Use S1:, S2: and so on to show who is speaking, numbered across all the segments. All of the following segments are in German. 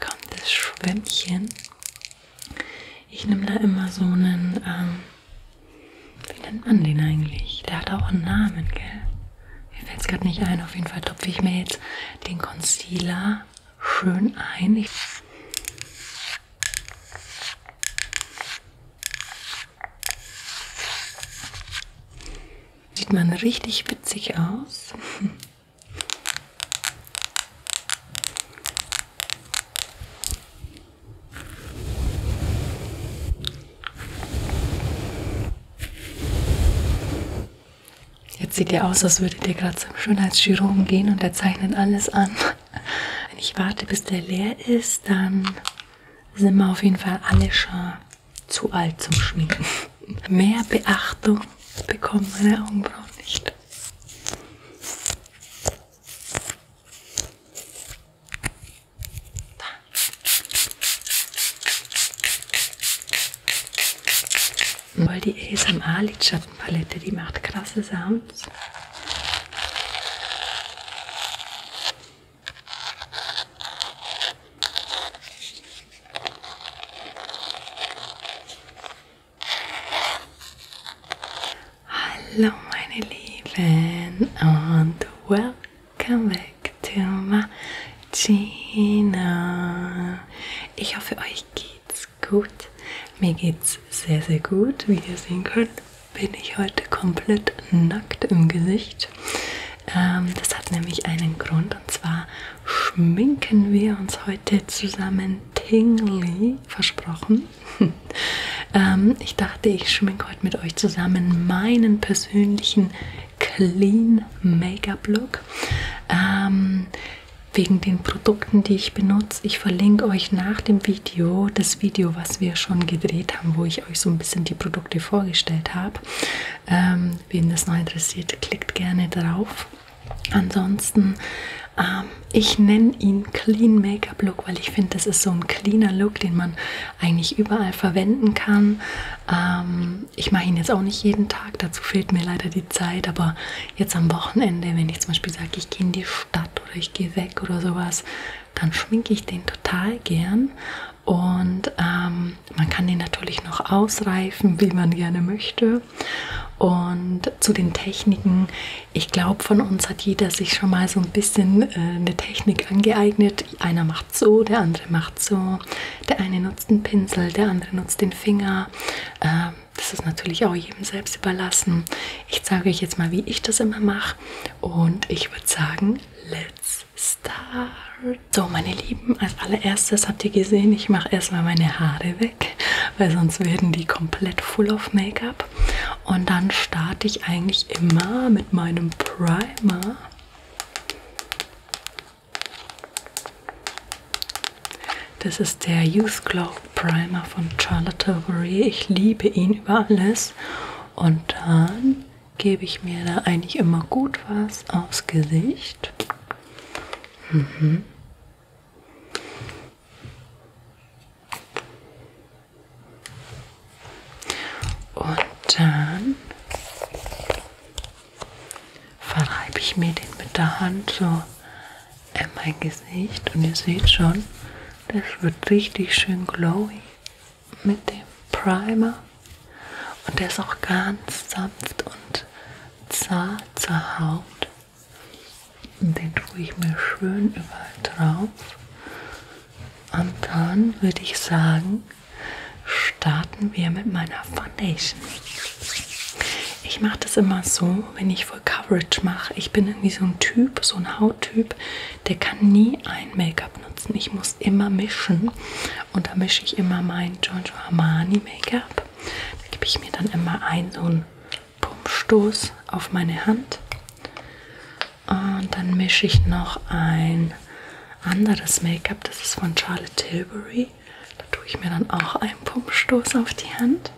S1: kommt das Schwämmchen. Ich nehme da immer so einen, ähm, wie nennt man den eigentlich? Der hat auch einen Namen, gell? Mir fällt es gerade nicht ein. Auf jeden Fall topfe ich mir jetzt den Concealer schön ein. Ich Sieht man richtig witzig aus. Jetzt sieht ihr aus, als würdet ihr gerade zum Schönheitschirurgen gehen und er zeichnet alles an. Wenn ich warte, bis der leer ist, dann sind wir auf jeden Fall alle schon zu alt zum Schminken. Mehr Beachtung bekommen meine Augenbrauen nicht. Da. Weil die ASMR Lidschattenpalette, die macht krasse Sounds. Hallo meine Lieben und welcome back to my Gina. Ich hoffe euch geht's gut. Mir geht's sehr sehr gut. Wie ihr sehen könnt, bin ich heute komplett nackt im Gesicht. Ähm, das hat nämlich einen Grund und zwar schminken wir uns heute zusammen tingly, versprochen. ähm, ich dachte, ich schminke heute mit euch zusammen meinen persönlichen Clean Make-up Look. Ähm, wegen den Produkten, die ich benutze. Ich verlinke euch nach dem Video das Video, was wir schon gedreht haben, wo ich euch so ein bisschen die Produkte vorgestellt habe. Ähm, wen das noch interessiert, klickt gerne drauf. Ansonsten, ähm, ich nenne ihn Clean Make-up Look, weil ich finde, das ist so ein cleaner Look, den man eigentlich überall verwenden kann. Ähm, ich mache ihn jetzt auch nicht jeden Tag, dazu fehlt mir leider die Zeit, aber jetzt am Wochenende, wenn ich zum Beispiel sage, ich gehe in die Stadt oder ich gehe weg oder sowas, dann schminke ich den total gern. Und ähm, man kann den natürlich noch ausreifen, wie man gerne möchte. Und zu den Techniken, ich glaube, von uns hat jeder sich schon mal so ein bisschen äh, eine Technik angeeignet. Einer macht so, der andere macht so, der eine nutzt einen Pinsel, der andere nutzt den Finger. Äh, das ist natürlich auch jedem selbst überlassen. Ich zeige euch jetzt mal, wie ich das immer mache. Und ich würde sagen, let's start! So, meine Lieben, als allererstes habt ihr gesehen, ich mache erstmal meine Haare weg, weil sonst werden die komplett full of Make-up. Und dann starte ich eigentlich immer mit meinem Primer. Das ist der Youth Glow Primer von Charlotte Tilbury. Ich liebe ihn über alles. Und dann gebe ich mir da eigentlich immer gut was aufs Gesicht. Mhm. Und dann verreibe ich mir den mit der Hand so in mein Gesicht und ihr seht schon, das wird richtig schön glowy mit dem Primer und der ist auch ganz sanft und zart zur Haut. Und den tue ich mir schön überall drauf. Und dann würde ich sagen, starten wir mit meiner Foundation. Ich mache das immer so, wenn ich Full Coverage mache. Ich bin irgendwie so ein Typ, so ein Hauttyp, der kann nie ein Make-up nutzen. Ich muss immer mischen und da mische ich immer mein Giorgio Armani Make-up da gebe ich mir dann immer ein so einen Pumpstoß auf meine Hand. Und dann mische ich noch ein anderes Make-up. Das ist von Charlotte Tilbury. Da tue ich mir dann auch einen Pumpstoß auf die Hand.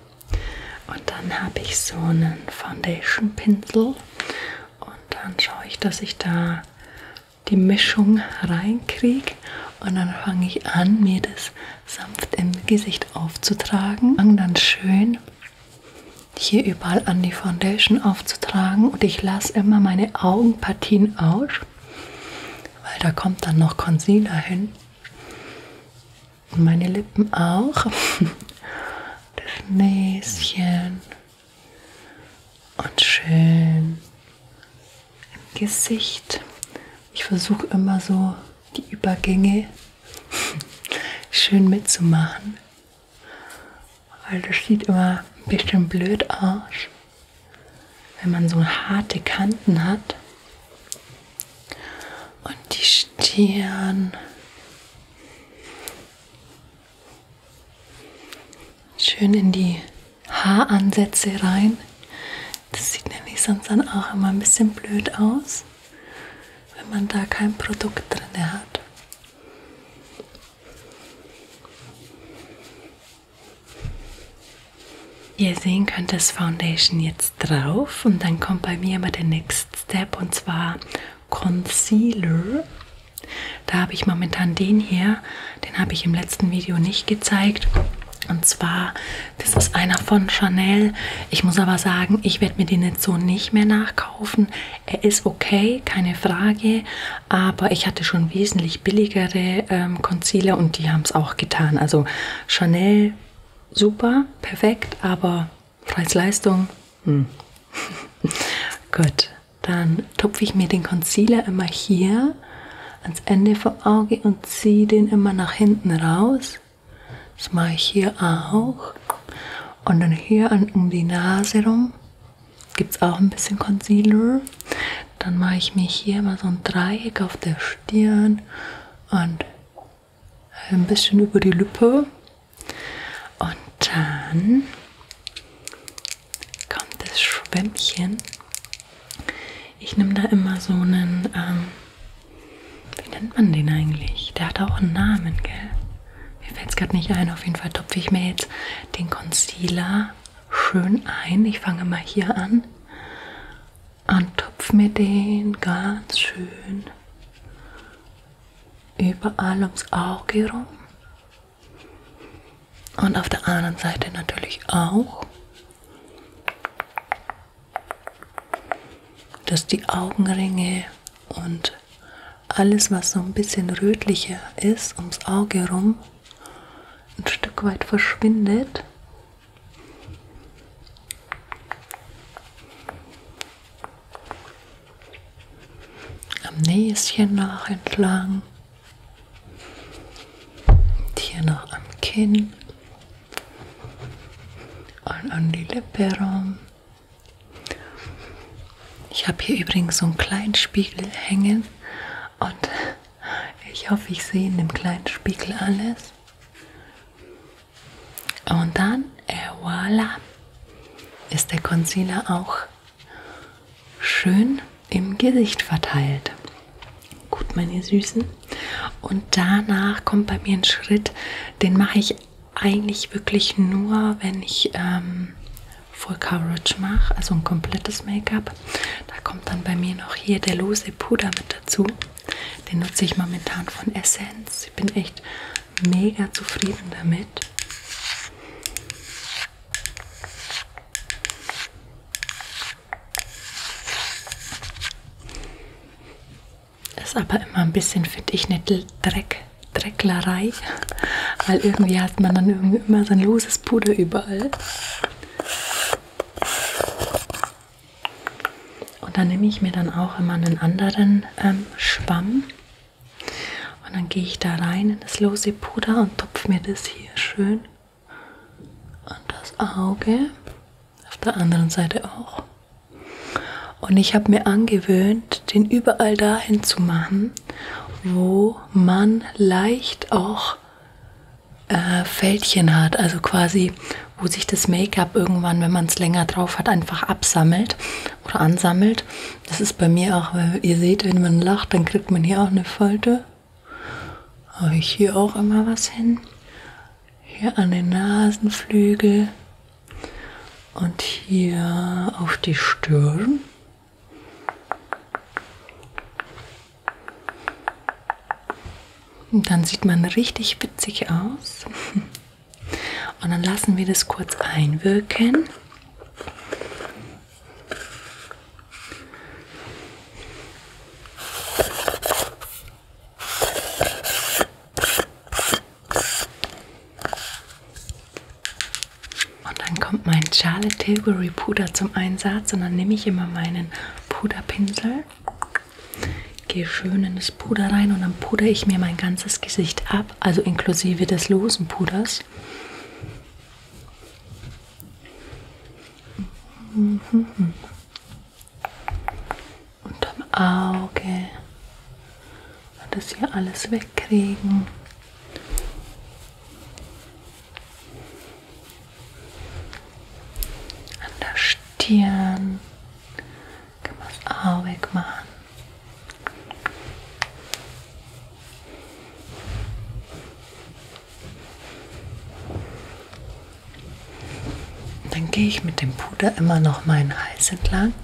S1: Und dann habe ich so einen Foundation-Pinsel. Und dann schaue ich, dass ich da die Mischung reinkriege und dann fange ich an, mir das sanft im Gesicht aufzutragen. Fange dann schön hier überall an die Foundation aufzutragen und ich lasse immer meine Augenpartien aus, weil da kommt dann noch Concealer hin. Und meine Lippen auch. Das Näschen. Und schön im Gesicht. Ich versuche immer so die Übergänge schön mitzumachen, weil das sieht immer ein bisschen blöd aus, wenn man so harte Kanten hat. Und die Stirn. Schön in die Haaransätze rein. Das sieht nämlich sonst dann auch immer ein bisschen blöd aus, wenn man da kein Produkt drin hat. Wie ihr sehen könnt, ist Foundation jetzt drauf und dann kommt bei mir immer der Next Step und zwar Concealer. Da habe ich momentan den hier den habe ich im letzten Video nicht gezeigt. Und zwar, das ist einer von Chanel. Ich muss aber sagen, ich werde mir den jetzt so nicht mehr nachkaufen. Er ist okay, keine Frage. Aber ich hatte schon wesentlich billigere ähm, Concealer und die haben es auch getan. Also Chanel, super, perfekt, aber Preis-Leistung, hm. Gut, dann tupfe ich mir den Concealer immer hier ans Ende vom Auge und ziehe den immer nach hinten raus. Das mache ich hier auch. Und dann hier an, um die Nase rum gibt es auch ein bisschen Concealer. Dann mache ich mir hier mal so ein Dreieck auf der Stirn und ein bisschen über die Lippe. Und dann kommt das Schwämmchen. Ich nehme da immer so einen, ähm, wie nennt man den eigentlich? Der hat auch einen Namen, gell? Mir fällt es gerade nicht ein. Auf jeden Fall topfe ich mir jetzt den Concealer schön ein. Ich fange mal hier an und topfe mir den ganz schön überall ums Auge rum. Und auf der anderen Seite natürlich auch, dass die Augenringe und alles, was so ein bisschen rötlicher ist, ums Auge rum, ein Stück weit verschwindet. Am Näschen nach entlang und hier noch am Kinn und an die Lippe rum. Ich habe hier übrigens so einen kleinen Spiegel hängen und ich hoffe, ich sehe in dem kleinen Spiegel alles. Und dann, et äh, voilà, ist der Concealer auch schön im Gesicht verteilt. Gut, meine Süßen. Und danach kommt bei mir ein Schritt, den mache ich eigentlich wirklich nur, wenn ich ähm, Full Coverage mache, also ein komplettes Make-up. Da kommt dann bei mir noch hier der lose Puder mit dazu. Den nutze ich momentan von Essence. Ich bin echt mega zufrieden damit. Ist aber immer ein bisschen, finde ich, eine Dreck, Drecklerei, weil irgendwie hat man dann irgendwie immer so ein loses Puder überall. Und dann nehme ich mir dann auch immer einen anderen ähm, Schwamm und dann gehe ich da rein in das lose Puder und tupfe mir das hier schön an das Auge, auf der anderen Seite auch. Und ich habe mir angewöhnt, den überall dahin zu machen, wo man leicht auch äh, Fältchen hat, also quasi wo sich das Make-up irgendwann, wenn man es länger drauf hat, einfach absammelt oder ansammelt. Das ist bei mir auch, weil ihr seht, wenn man lacht, dann kriegt man hier auch eine Falte. Habe ich hier auch immer was hin. Hier an den Nasenflügel und hier auf die Stirn. Und dann sieht man richtig witzig aus. Und dann lassen wir das kurz einwirken. Und dann kommt mein Charlotte Tilbury Puder zum Einsatz und dann nehme ich immer meinen Puderpinsel, gehe schön in das Puder rein und dann pudere ich mir mein ganzes Gesicht ab, also inklusive des losen Puders. Mhm. Unterm Auge. Das hier alles wegkriegen. An der Stirn kann man es auch wegmachen. Dann gehe ich mit dem Puder immer noch meinen Hals entlang,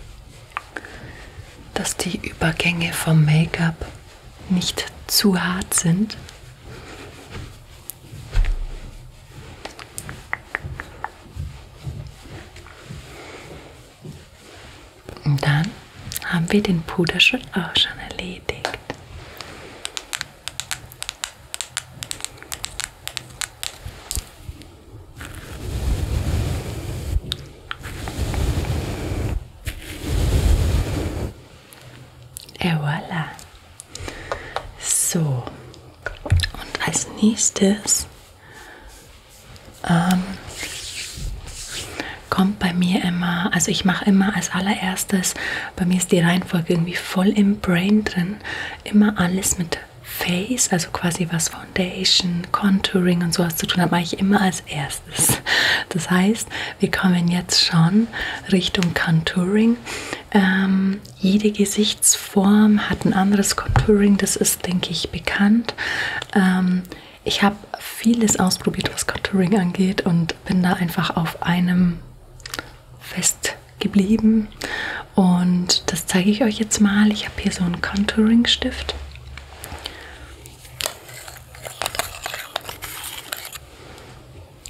S1: dass die Übergänge vom Make-up nicht zu hart sind. Und dann haben wir den Puderschritt auch schon erledigt. Et voilà. So. Und als nächstes ähm, kommt bei mir immer, also ich mache immer als allererstes, bei mir ist die Reihenfolge irgendwie voll im Brain drin, immer alles mit Face, also quasi was Foundation, Contouring und sowas zu tun hat, mache ich immer als erstes. Das heißt, wir kommen jetzt schon Richtung Contouring. Ähm, jede Gesichtsform hat ein anderes Contouring, das ist, denke ich, bekannt. Ähm, ich habe vieles ausprobiert, was Contouring angeht und und bin da einfach auf einem fest geblieben und das zeige ich euch jetzt mal. Ich habe hier so einen Contouring Stift.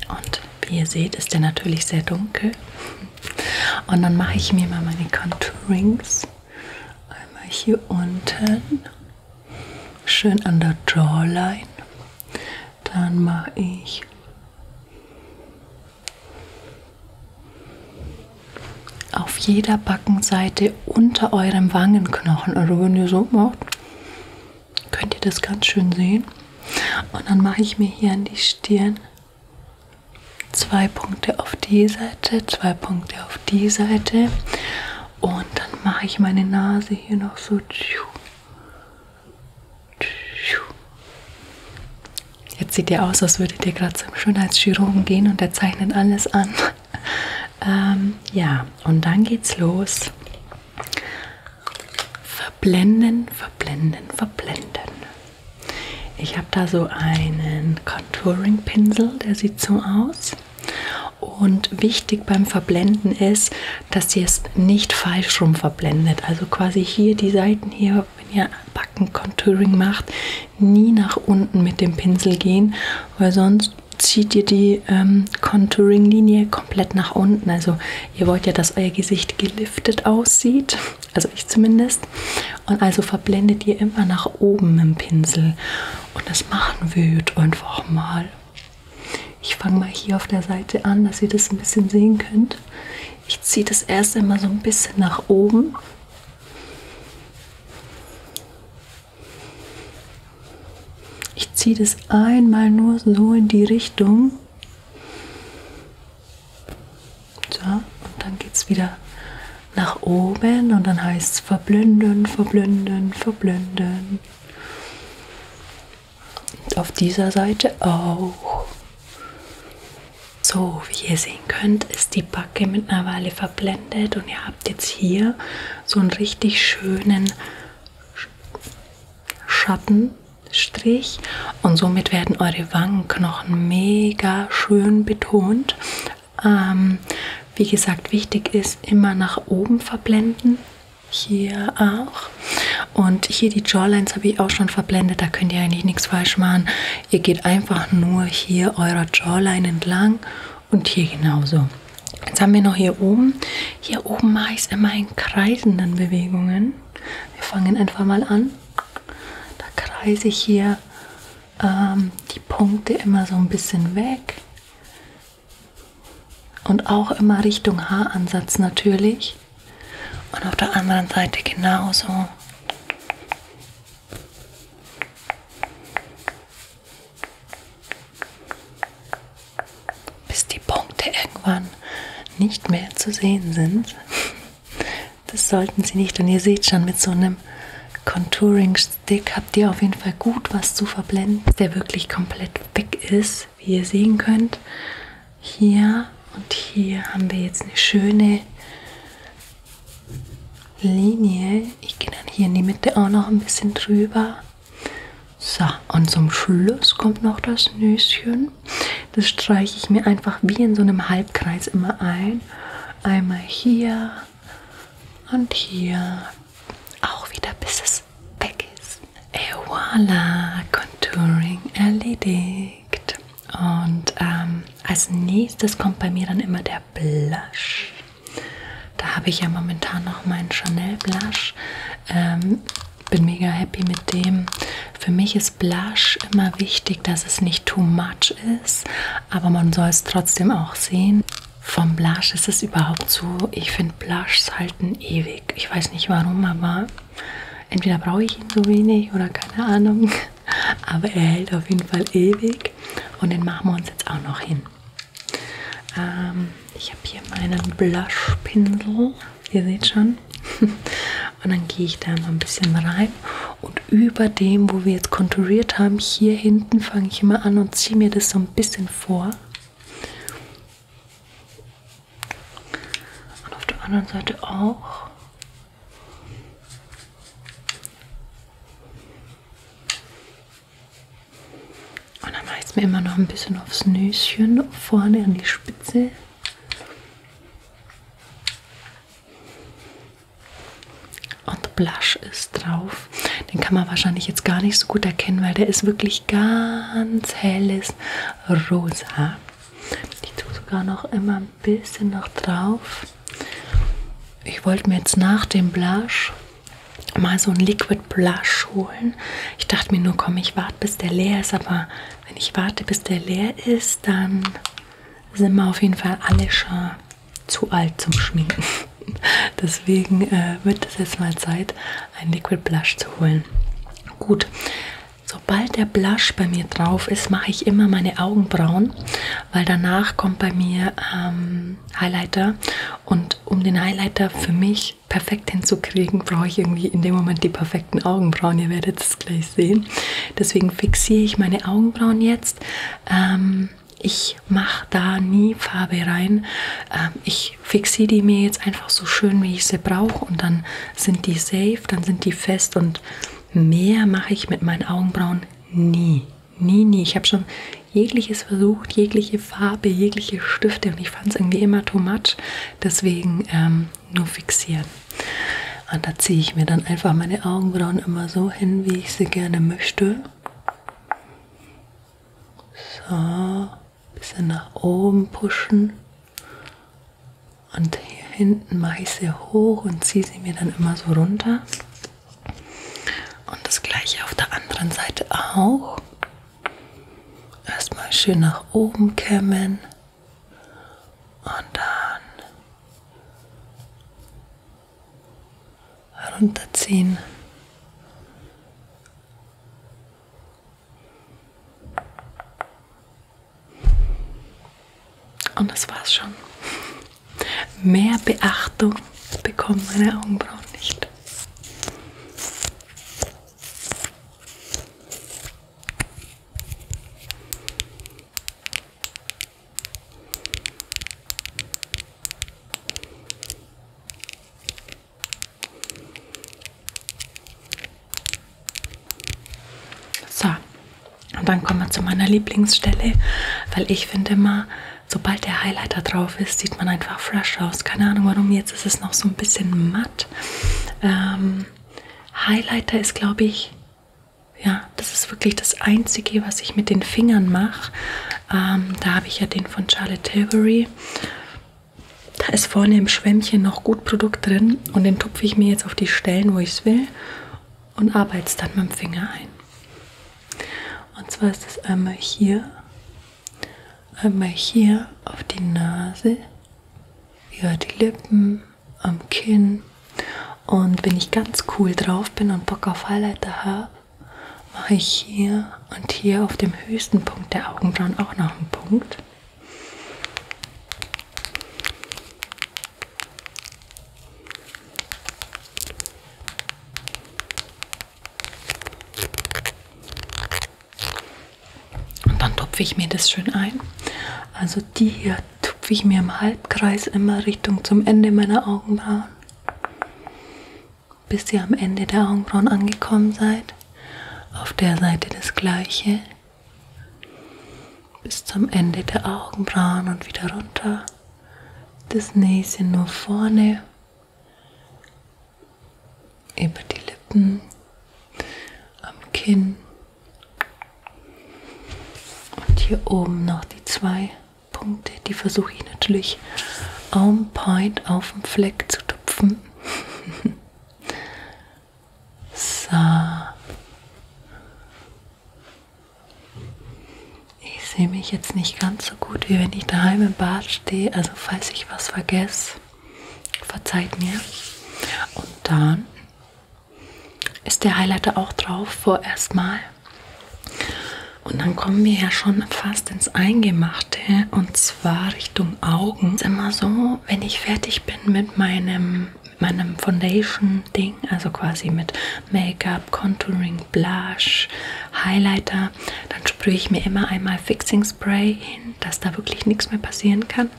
S1: Und wie ihr seht, ist der natürlich sehr dunkel. Und dann mache ich mir mal meine Contourings. Einmal hier unten schön an der Jawline. Dann mache ich auf jeder Backenseite unter eurem Wangenknochen. Also wenn ihr so macht, könnt ihr das ganz schön sehen. Und dann mache ich mir hier an die Stirn zwei Punkte auf die Seite, zwei Punkte auf die Seite und dann mache ich meine Nase hier noch so. Jetzt sieht ihr aus, als würdet ihr gerade zum Schönheitschirurgen gehen und der zeichnet alles an. ähm, ja, und dann geht's los. Verblenden, verblenden, verblenden. Ich habe da so einen Contouring-Pinsel, der sieht so aus. Und wichtig beim Verblenden ist, dass ihr es nicht falsch rum verblendet. Also quasi hier die Seiten hier, wenn ihr Backen-Contouring macht, nie nach unten mit dem Pinsel gehen, weil sonst zieht ihr die ähm, Contouring-Linie komplett nach unten. Also ihr wollt ja, dass euer Gesicht geliftet aussieht, also ich zumindest. Und also verblendet ihr immer nach oben im Pinsel. Und das machen wird einfach mal ich fange mal hier auf der Seite an, dass ihr das ein bisschen sehen könnt. Ich ziehe das erst einmal so ein bisschen nach oben. Ich ziehe das einmal nur so in die Richtung. So, und dann geht es wieder nach oben und dann heißt es verblünden, verblünden, verblünden. Und auf dieser Seite auch. So, wie ihr sehen könnt, ist die Backe mit einer Weile verblendet und ihr habt jetzt hier so einen richtig schönen Schattenstrich und somit werden eure Wangenknochen mega schön betont. Ähm, wie gesagt, wichtig ist immer nach oben verblenden hier auch und hier die Jawlines habe ich auch schon verblendet, da könnt ihr eigentlich nichts falsch machen. Ihr geht einfach nur hier eurer Jawline entlang und hier genauso. Jetzt haben wir noch hier oben. Hier oben mache ich es immer in kreisenden Bewegungen. Wir fangen einfach mal an. Da kreise ich hier ähm, die Punkte immer so ein bisschen weg. Und auch immer Richtung Haaransatz natürlich. Und auf der anderen Seite genauso. Bis die Punkte irgendwann nicht mehr zu sehen sind. Das sollten Sie nicht. Und ihr seht schon, mit so einem Contouring-Stick habt ihr auf jeden Fall gut was zu verblenden, der wirklich komplett weg ist, wie ihr sehen könnt. Hier und hier haben wir jetzt eine schöne Linie. Ich gehe dann hier in die Mitte auch noch ein bisschen drüber. So, und zum Schluss kommt noch das Nüschen. Das streiche ich mir einfach wie in so einem Halbkreis immer ein. Einmal hier und hier auch wieder bis es weg ist. Et voilà, Contouring erledigt. Und ähm, als nächstes kommt bei mir dann immer der Blush. Da habe ich ja momentan noch meinen Chanel Blush. Ähm, bin mega happy mit dem. Für mich ist Blush immer wichtig, dass es nicht too much ist, aber man soll es trotzdem auch sehen vom Blush ist es überhaupt so, ich finde Blushs halten ewig. Ich weiß nicht warum, aber entweder brauche ich ihn so wenig oder keine Ahnung. Aber er hält auf jeden Fall ewig und den machen wir uns jetzt auch noch hin. Ähm, ich habe hier meinen Blush-Pinsel, ihr seht schon. Und dann gehe ich da mal ein bisschen rein und über dem, wo wir jetzt konturiert haben, hier hinten fange ich immer an und ziehe mir das so ein bisschen vor. Und auf der anderen Seite auch. Und dann mache ich es mir immer noch ein bisschen aufs Nüschen, vorne an die Spitze. Und Blush ist drauf auf. Den kann man wahrscheinlich jetzt gar nicht so gut erkennen, weil der ist wirklich ganz helles Rosa. Ich tue sogar noch immer ein bisschen noch drauf. Ich wollte mir jetzt nach dem Blush mal so ein Liquid Blush holen. Ich dachte mir nur, komm, ich warte, bis der leer ist. Aber wenn ich warte, bis der leer ist, dann sind wir auf jeden Fall alle schon zu alt zum Schminken. Deswegen äh, wird es jetzt mal Zeit, einen Liquid Blush zu holen. Gut, sobald der Blush bei mir drauf ist, mache ich immer meine Augenbrauen, weil danach kommt bei mir ähm, Highlighter und um den Highlighter für mich perfekt hinzukriegen, brauche ich irgendwie in dem Moment die perfekten Augenbrauen. Ihr werdet es gleich sehen. Deswegen fixiere ich meine Augenbrauen jetzt. Ähm, ich mache da nie Farbe rein. Ähm, ich fixiere die mir jetzt einfach so schön, wie ich sie brauche und dann sind die safe, dann sind die fest und mehr mache ich mit meinen Augenbrauen nie. Nie, nie. Ich habe schon jegliches versucht, jegliche Farbe, jegliche Stifte und ich fand es irgendwie immer too much. Deswegen ähm, nur fixieren. Und da ziehe ich mir dann einfach meine Augenbrauen immer so hin, wie ich sie gerne möchte. So, ein bisschen nach oben pushen. Und hier hinten mache ich sie hoch und ziehe sie mir dann immer so runter. Und das gleiche auf der anderen Seite auch. Erstmal schön nach oben kämmen. Und dann runterziehen. Und das war's schon. Mehr Beachtung bekommen meine Augenbrauen nicht. So, und dann kommen wir zu meiner Lieblingsstelle, weil ich finde immer, sobald der Highlighter drauf ist, sieht man einfach fresh aus. Keine Ahnung warum, jetzt ist es noch so ein bisschen matt. Ähm, Highlighter ist, glaube ich, ja, das ist wirklich das Einzige, was ich mit den Fingern mache. Ähm, da habe ich ja den von Charlotte Tilbury. Da ist vorne im Schwämmchen noch gut Produkt drin und den tupfe ich mir jetzt auf die Stellen, wo ich es will und arbeite es dann mit dem Finger ein. Und zwar ist das einmal hier, einmal hier auf die Nase, über die Lippen, am Kinn. Und wenn ich ganz cool drauf bin und Bock auf Highlighter habe, mache ich hier und hier auf dem höchsten Punkt der Augenbrauen auch noch einen Punkt. Und dann tupfe ich mir das schön ein. Also die hier tupfe ich mir im Halbkreis immer Richtung zum Ende meiner Augenbrauen bis ihr am Ende der Augenbrauen angekommen seid. Auf der Seite das gleiche. Bis zum Ende der Augenbrauen und wieder runter. Das nächste nur vorne. Über die Lippen. Am Kinn. Und hier oben noch die zwei. Punkte, die versuche ich natürlich on point auf dem Fleck zu tupfen. so. Ich sehe mich jetzt nicht ganz so gut, wie wenn ich daheim im Bad stehe. Also falls ich was vergesse, verzeiht mir. Und dann ist der Highlighter auch drauf vorerst mal. Und dann kommen wir ja schon fast ins Eingemachte und zwar Richtung Augen. Ist immer so, wenn ich fertig bin mit meinem, mit meinem Foundation-Ding, also quasi mit Make-up, Contouring, Blush, Highlighter, dann sprühe ich mir immer einmal Fixing Spray hin, dass da wirklich nichts mehr passieren kann.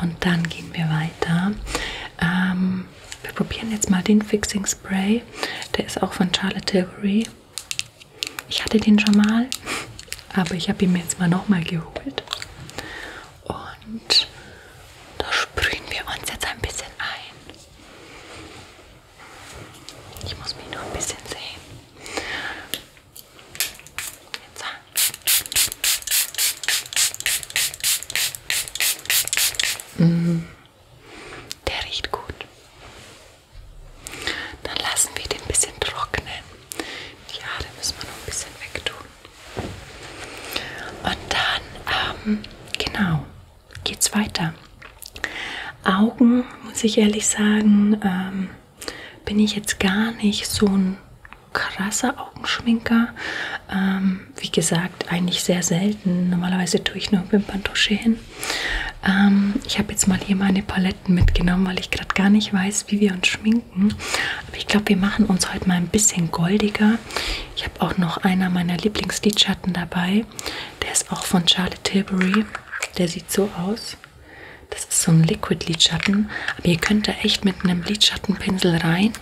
S1: Und dann gehen wir weiter. Ähm, wir probieren jetzt mal den Fixing Spray. Der ist auch von Charlotte Tilbury. Ich hatte den schon mal, aber ich habe ihn mir jetzt mal nochmal geholt. Und da sprühen wir uns jetzt ein bisschen ein. Ich muss mich noch ein bisschen sehen. Jetzt. Mm, der riecht gut. Dann lassen wir den ein bisschen trocknen. Die Haare müssen wir noch ein bisschen wegtun. Und dann, ähm, genau, geht's weiter. Augen, muss ich ehrlich sagen, ähm, bin ich jetzt gar nicht so ein krasser Augenschminker. Ähm, wie gesagt, eigentlich sehr selten. Normalerweise tue ich nur Wimperntusche hin schön. Ähm, ich habe jetzt mal hier meine Paletten mitgenommen, weil ich gerade gar nicht weiß, wie wir uns schminken. Aber ich glaube, wir machen uns heute mal ein bisschen goldiger. Ich habe auch noch einer meiner Lieblingslidschatten dabei. Der ist auch von Charlotte Tilbury. Der sieht so aus. Das ist so ein Liquid-Lidschatten. Aber ihr könnt da echt mit einem Lidschattenpinsel rein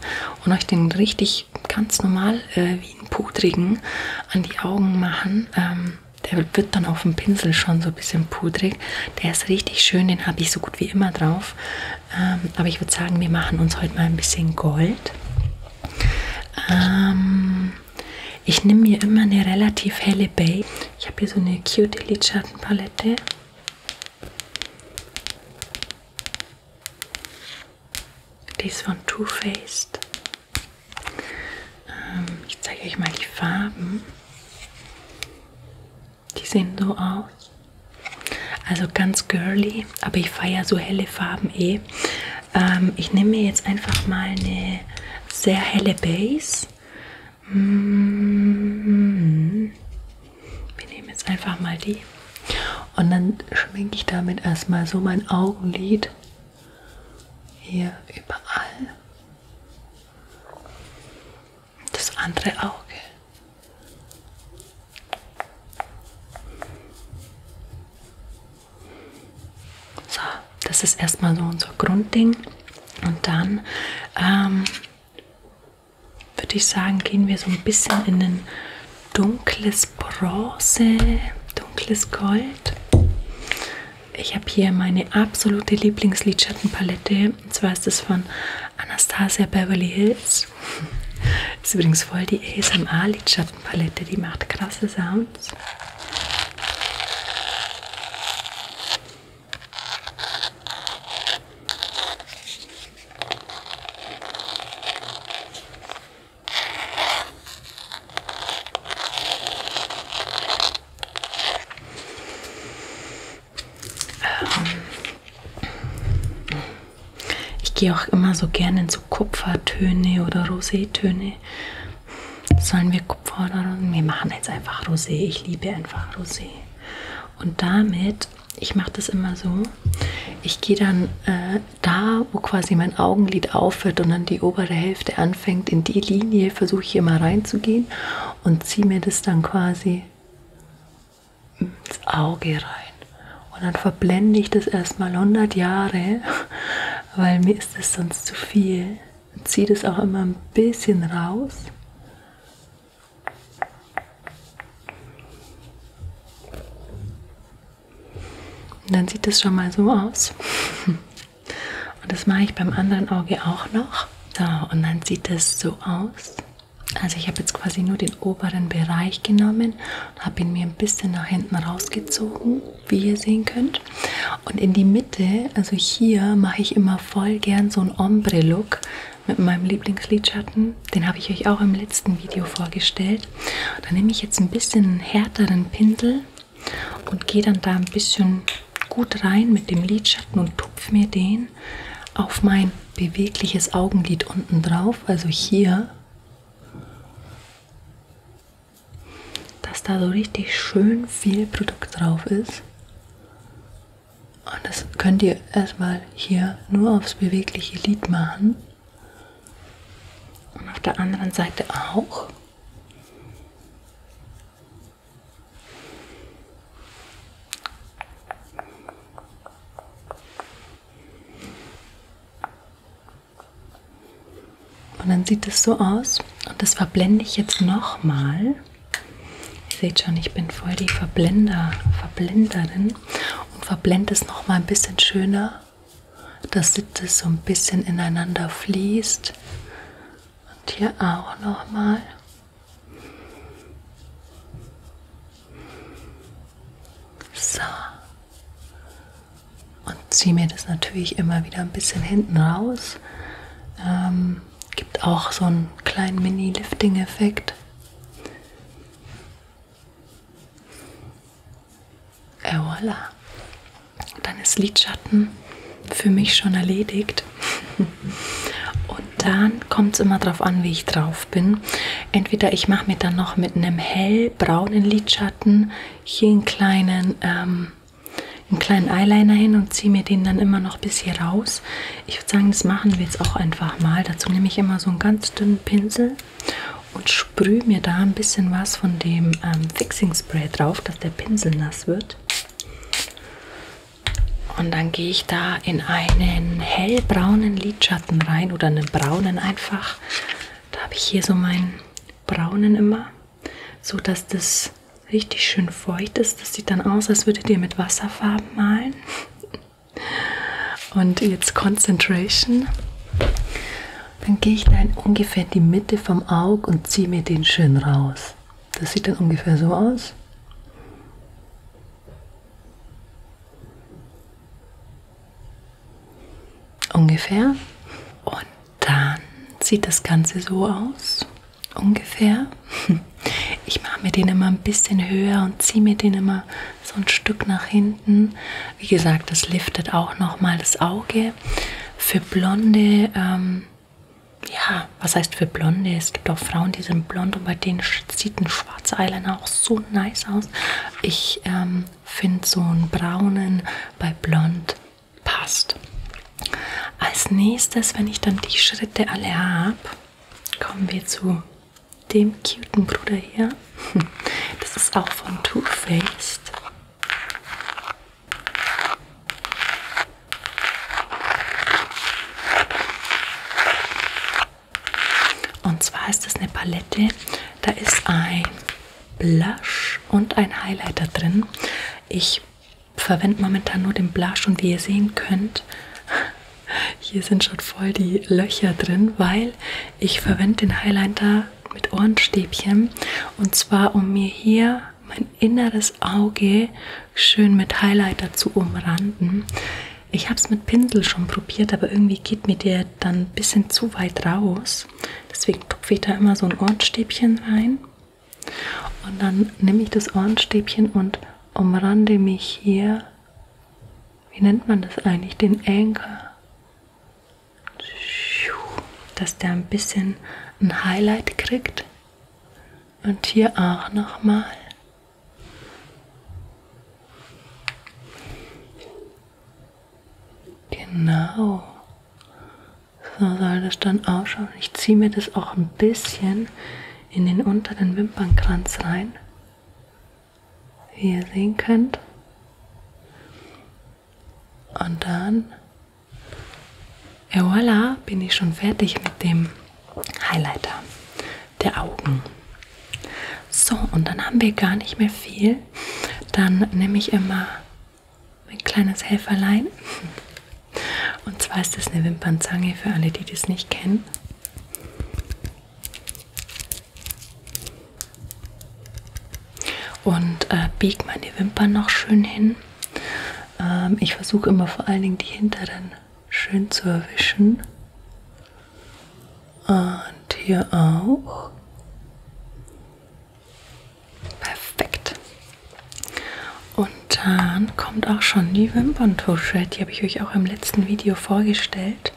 S1: und euch den richtig ganz normal, äh, wie einen pudrigen, an die Augen machen. Ähm, der wird dann auf dem Pinsel schon so ein bisschen pudrig. Der ist richtig schön, den habe ich so gut wie immer drauf. Ähm, aber ich würde sagen, wir machen uns heute mal ein bisschen Gold. Ähm, ich nehme mir immer eine relativ helle Base. Ich habe hier so eine cute Lidschattenpalette. Die ist von Too Faced. Ähm, ich zeige euch mal die Farben. Die sehen so aus. Also ganz girly, aber ich feiere so helle Farben eh. Ähm, ich nehme mir jetzt einfach mal eine sehr helle Base. Mm -hmm. Wir nehmen jetzt einfach mal die. Und dann schminke ich damit erstmal so mein Augenlid hier überall. Das andere Auge. So, das ist erstmal so unser Grundding. Und dann ähm, würde ich sagen, gehen wir so ein bisschen in ein dunkles ist Bronze, dunkles Gold. Ich habe hier meine absolute Lieblingslidschattenpalette. Und zwar ist das von Anastasia Beverly Hills. Ist übrigens voll die ASMR-Lidschattenpalette. Die macht krasse Sounds. Ähm ich gehe auch immer so gerne in so Kupfertöne oder Rosétöne. Sollen wir Kupfer oder Wir machen jetzt einfach Rosé. Ich liebe einfach Rosé. Und damit, ich mache das immer so, ich gehe dann äh, da, wo quasi mein Augenlid aufhört und dann die obere Hälfte anfängt, in die Linie versuche ich immer reinzugehen und ziehe mir das dann quasi ins Auge rein. Und dann verblende ich das erstmal 100 Jahre, weil mir ist das sonst zu viel. Ziehe das auch immer ein bisschen raus. Und dann sieht es schon mal so aus. Und das mache ich beim anderen Auge auch noch. So, und dann sieht es so aus. Also ich habe jetzt quasi nur den oberen Bereich genommen und habe ihn mir ein bisschen nach hinten rausgezogen, wie ihr sehen könnt. Und in die Mitte, also hier, mache ich immer voll gern so einen Ombre-Look mit meinem Lieblingslidschatten. Den habe ich euch auch im letzten Video vorgestellt. Da nehme ich jetzt ein bisschen einen härteren Pinsel und gehe dann da ein bisschen gut rein mit dem Lidschatten und tupfe mir den auf mein bewegliches Augenlid unten drauf, also hier, dass da so richtig schön viel Produkt drauf ist. Und das könnt ihr erstmal hier nur aufs bewegliche Lid machen. Und auf der anderen Seite auch. Und dann sieht es so aus und das verblende ich jetzt nochmal. Ihr seht schon, ich bin voll die Verblender, Verblenderin und verblende es nochmal ein bisschen schöner dass das so ein bisschen ineinander fließt. Und hier auch nochmal. So. Und ziehe mir das natürlich immer wieder ein bisschen hinten raus. Ähm, gibt auch so einen kleinen Mini-Lifting-Effekt. Et äh, voilà. Dann ist Lidschatten für mich schon erledigt. Und dann kommt es immer darauf an, wie ich drauf bin. Entweder ich mache mir dann noch mit einem hellbraunen Lidschatten hier einen kleinen, ähm, einen kleinen Eyeliner hin und ziehe mir den dann immer noch bis hier raus. Ich würde sagen, das machen wir jetzt auch einfach mal. Dazu nehme ich immer so einen ganz dünnen Pinsel und sprühe mir da ein bisschen was von dem ähm, Fixing Spray drauf, dass der Pinsel nass wird. Und dann gehe ich da in einen hellbraunen Lidschatten rein oder einen braunen einfach. Da habe ich hier so meinen braunen immer, so dass das richtig schön feucht ist. Das sieht dann aus, als würdet ihr mit Wasserfarben malen. Und jetzt Concentration. Dann gehe ich da in ungefähr die Mitte vom Auge und ziehe mir den schön raus. Das sieht dann ungefähr so aus. Ungefähr. Und dann sieht das Ganze so aus. Ungefähr. Ich mache mir den immer ein bisschen höher und ziehe mir den immer so ein Stück nach hinten. Wie gesagt, das liftet auch nochmal das Auge. Blonde. Für Blonde, ähm, ja, was heißt für Blonde? Es gibt auch Frauen, die sind blond und bei denen sieht ein schwarzer Eyeliner auch so nice aus. Ich ähm, finde so einen braunen bei blond passt. Als nächstes, wenn ich dann die Schritte alle habe, kommen wir zu dem cuten Bruder hier. Das ist auch von Too Faced. Und zwar ist das eine Palette, da ist ein Blush und ein Highlighter drin. Ich verwende momentan nur den Blush und wie ihr sehen könnt, hier sind schon voll die Löcher drin, weil ich verwende den Highlighter mit Ohrenstäbchen und zwar um mir hier mein inneres Auge schön mit Highlighter zu umranden. Ich habe es mit Pinsel schon probiert, aber irgendwie geht mir der dann ein bisschen zu weit raus. Deswegen tupfe ich da immer so ein Ohrenstäbchen rein. Und dann nehme ich das Ohrenstäbchen und umrande mich hier, wie nennt man das eigentlich, den Anker dass der ein bisschen ein Highlight kriegt. Und hier auch nochmal. Genau. So soll das dann ausschauen. Ich ziehe mir das auch ein bisschen in den unteren Wimpernkranz rein. Wie ihr sehen könnt. Und dann, et voilà, bin ich schon fertig mit dem Highlighter der Augen. So, und dann haben wir gar nicht mehr viel. Dann nehme ich immer mein kleines Helferlein. Und zwar ist das eine Wimpernzange für alle, die das nicht kennen. Und äh, biege meine Wimpern noch schön hin. Ähm, ich versuche immer vor allen Dingen die hinteren schön zu erwischen. Und hier auch. Perfekt. Und dann kommt auch schon die Wimperntusche. Die habe ich euch auch im letzten Video vorgestellt.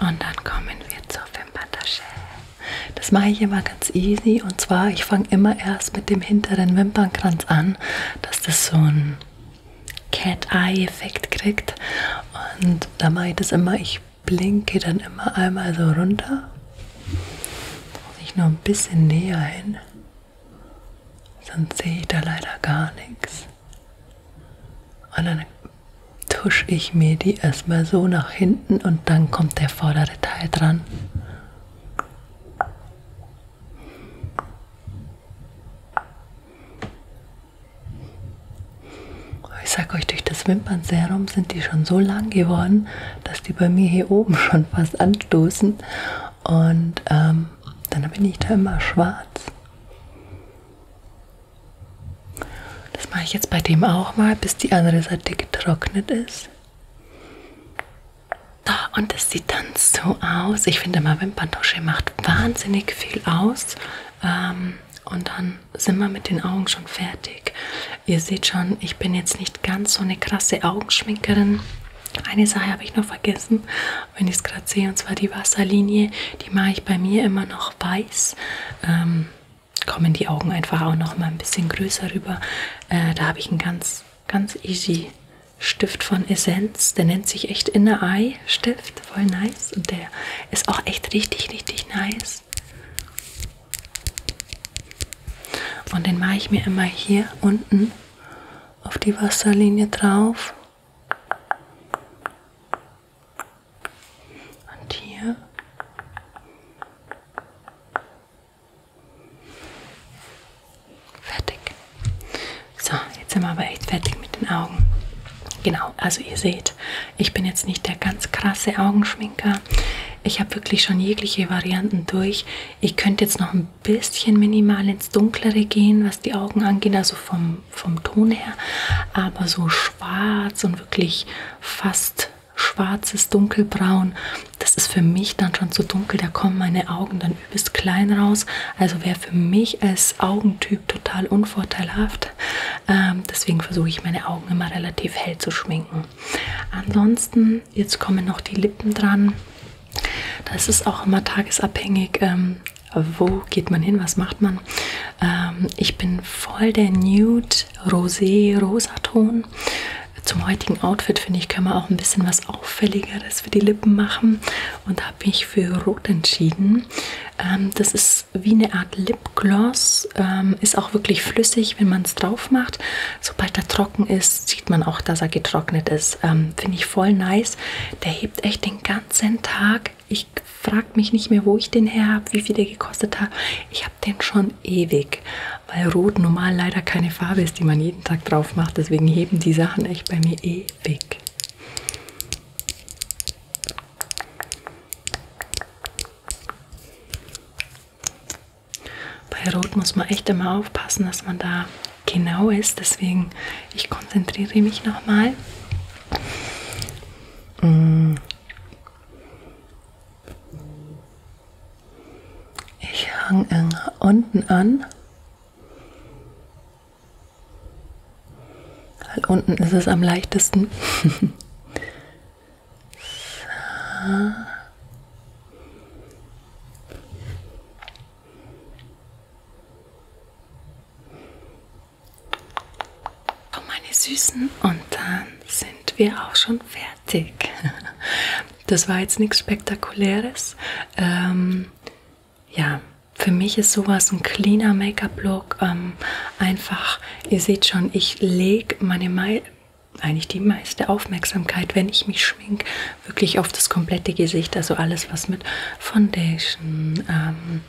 S1: Und dann kommen wir zur Wimperntasche. Das mache ich immer ganz easy. Und zwar, ich fange immer erst mit dem hinteren Wimpernkranz an, dass das so ein Cat-Eye-Effekt kriegt. Und da mache ich das immer, ich blinke dann immer einmal so runter. Muss ich nur ein bisschen näher hin. Sonst sehe ich da leider gar nichts. Und dann tusche ich mir die erstmal so nach hinten und dann kommt der vordere Teil dran. Ich sag euch, durch das Wimpernserum sind die schon so lang geworden, dass die bei mir hier oben schon fast anstoßen. Und ähm, dann bin ich da immer schwarz. Das mache ich jetzt bei dem auch mal, bis die andere Seite getrocknet ist. Da, und es sieht dann so aus. Ich finde mal, Wimperntusche macht wahnsinnig viel aus. Ähm, und dann sind wir mit den Augen schon fertig. Ihr seht schon, ich bin jetzt nicht ganz so eine krasse Augenschminkerin. Eine Sache habe ich noch vergessen, wenn ich es gerade sehe, und zwar die Wasserlinie. Die mache ich bei mir immer noch weiß. Ähm, kommen die Augen einfach auch noch mal ein bisschen größer rüber. Äh, da habe ich einen ganz, ganz easy Stift von Essenz. Der nennt sich echt Inner Eye Stift. Voll nice. Und der ist auch echt richtig, richtig nice. Und den mache ich mir immer hier unten auf die Wasserlinie drauf. Und hier. Fertig. So, jetzt sind wir aber echt fertig mit den Augen. Genau, also ihr seht, ich bin jetzt nicht der ganz krasse Augenschminker. Ich habe wirklich schon jegliche Varianten durch. Ich könnte jetzt noch ein bisschen minimal ins Dunklere gehen, was die Augen angeht, also vom, vom Ton her. Aber so schwarz und wirklich fast schwarzes Dunkelbraun, das ist für mich dann schon zu dunkel. Da kommen meine Augen dann übelst klein raus. Also wäre für mich als Augentyp total unvorteilhaft macht. Ähm, deswegen versuche ich meine Augen immer relativ hell zu schminken. Ansonsten, jetzt kommen noch die Lippen dran. Das ist auch immer tagesabhängig. Ähm, wo geht man hin? Was macht man? Ähm, ich bin voll der Nude, Rosé, Rosaton. Zum heutigen Outfit finde ich, können wir auch ein bisschen was Auffälligeres für die Lippen machen und habe mich für Rot entschieden. Ähm, das ist ist wie eine Art Lipgloss, ähm, ist auch wirklich flüssig, wenn man es drauf macht. Sobald er trocken ist, sieht man auch, dass er getrocknet ist. Ähm, Finde ich voll nice. Der hebt echt den ganzen Tag. Ich frage mich nicht mehr, wo ich den her habe, wie viel der gekostet hat. Ich habe den schon ewig, weil Rot normal leider keine Farbe ist, die man jeden Tag drauf macht. Deswegen heben die Sachen echt bei mir ewig. Bei Rot muss man echt immer aufpassen, dass man da genau ist. Deswegen, ich konzentriere mich nochmal. Mm. Ich hang unten an. Weil unten ist es am leichtesten. so. Oh meine Süßen, und dann sind wir auch schon fertig. Das war jetzt nichts Spektakuläres. Ähm, ja, für mich ist sowas ein cleaner Make-up-Look ähm, einfach Ihr seht schon, ich lege meine Me eigentlich die meiste Aufmerksamkeit, wenn ich mich schminke, wirklich auf das komplette Gesicht. Also alles, was mit Foundation, ähm,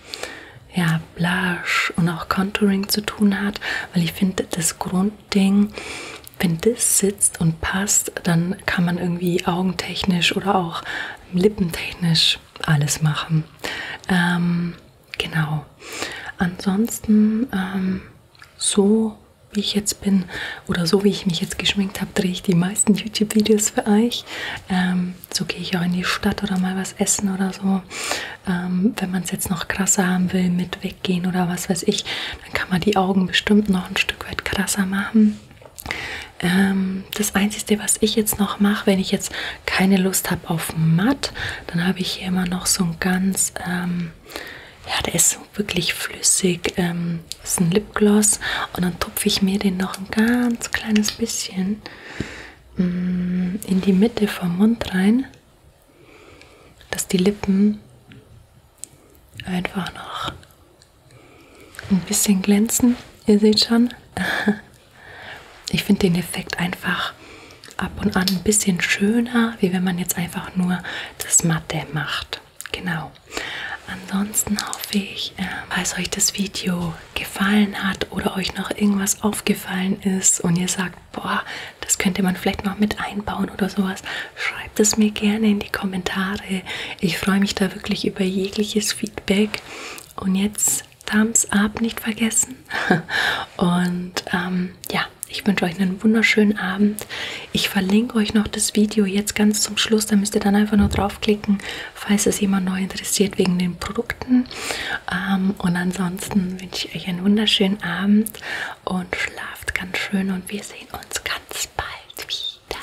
S1: ja, Blush und auch Contouring zu tun hat, weil ich finde, das Grundding, wenn das sitzt und passt, dann kann man irgendwie augentechnisch oder auch lippentechnisch alles machen. Ähm, Genau. Ansonsten ähm, so wie ich jetzt bin oder so wie ich mich jetzt geschminkt habe, drehe ich die meisten YouTube-Videos für euch. Ähm, so gehe ich auch in die Stadt oder mal was essen oder so. Ähm, wenn man es jetzt noch krasser haben will, mit weggehen oder was weiß ich, dann kann man die Augen bestimmt noch ein Stück weit krasser machen. Ähm, das Einzige, was ich jetzt noch mache, wenn ich jetzt keine Lust habe auf matt, dann habe ich hier immer noch so ein ganz, ähm, ja, der ist wirklich flüssig, ähm, ist ein Lipgloss und dann tupfe ich mir den noch ein ganz kleines bisschen ähm, in die Mitte vom Mund rein, dass die Lippen einfach noch ein bisschen glänzen. Ihr seht schon, Ich finde den Effekt einfach ab und an ein bisschen schöner, wie wenn man jetzt einfach nur das Matte macht. Genau. Ansonsten hoffe ich, äh, falls euch das Video gefallen hat oder euch noch irgendwas aufgefallen ist und ihr sagt, boah, das könnte man vielleicht noch mit einbauen oder sowas, schreibt es mir gerne in die Kommentare. Ich freue mich da wirklich über jegliches Feedback. Und jetzt Thumbs up nicht vergessen. Und ähm, ja, ich wünsche euch einen wunderschönen Abend. Ich verlinke euch noch das Video jetzt ganz zum Schluss. Da müsst ihr dann einfach nur draufklicken, falls es jemand neu interessiert wegen den Produkten. Ähm, und ansonsten wünsche ich euch einen wunderschönen Abend und schlaft ganz schön. Und wir sehen uns ganz bald wieder.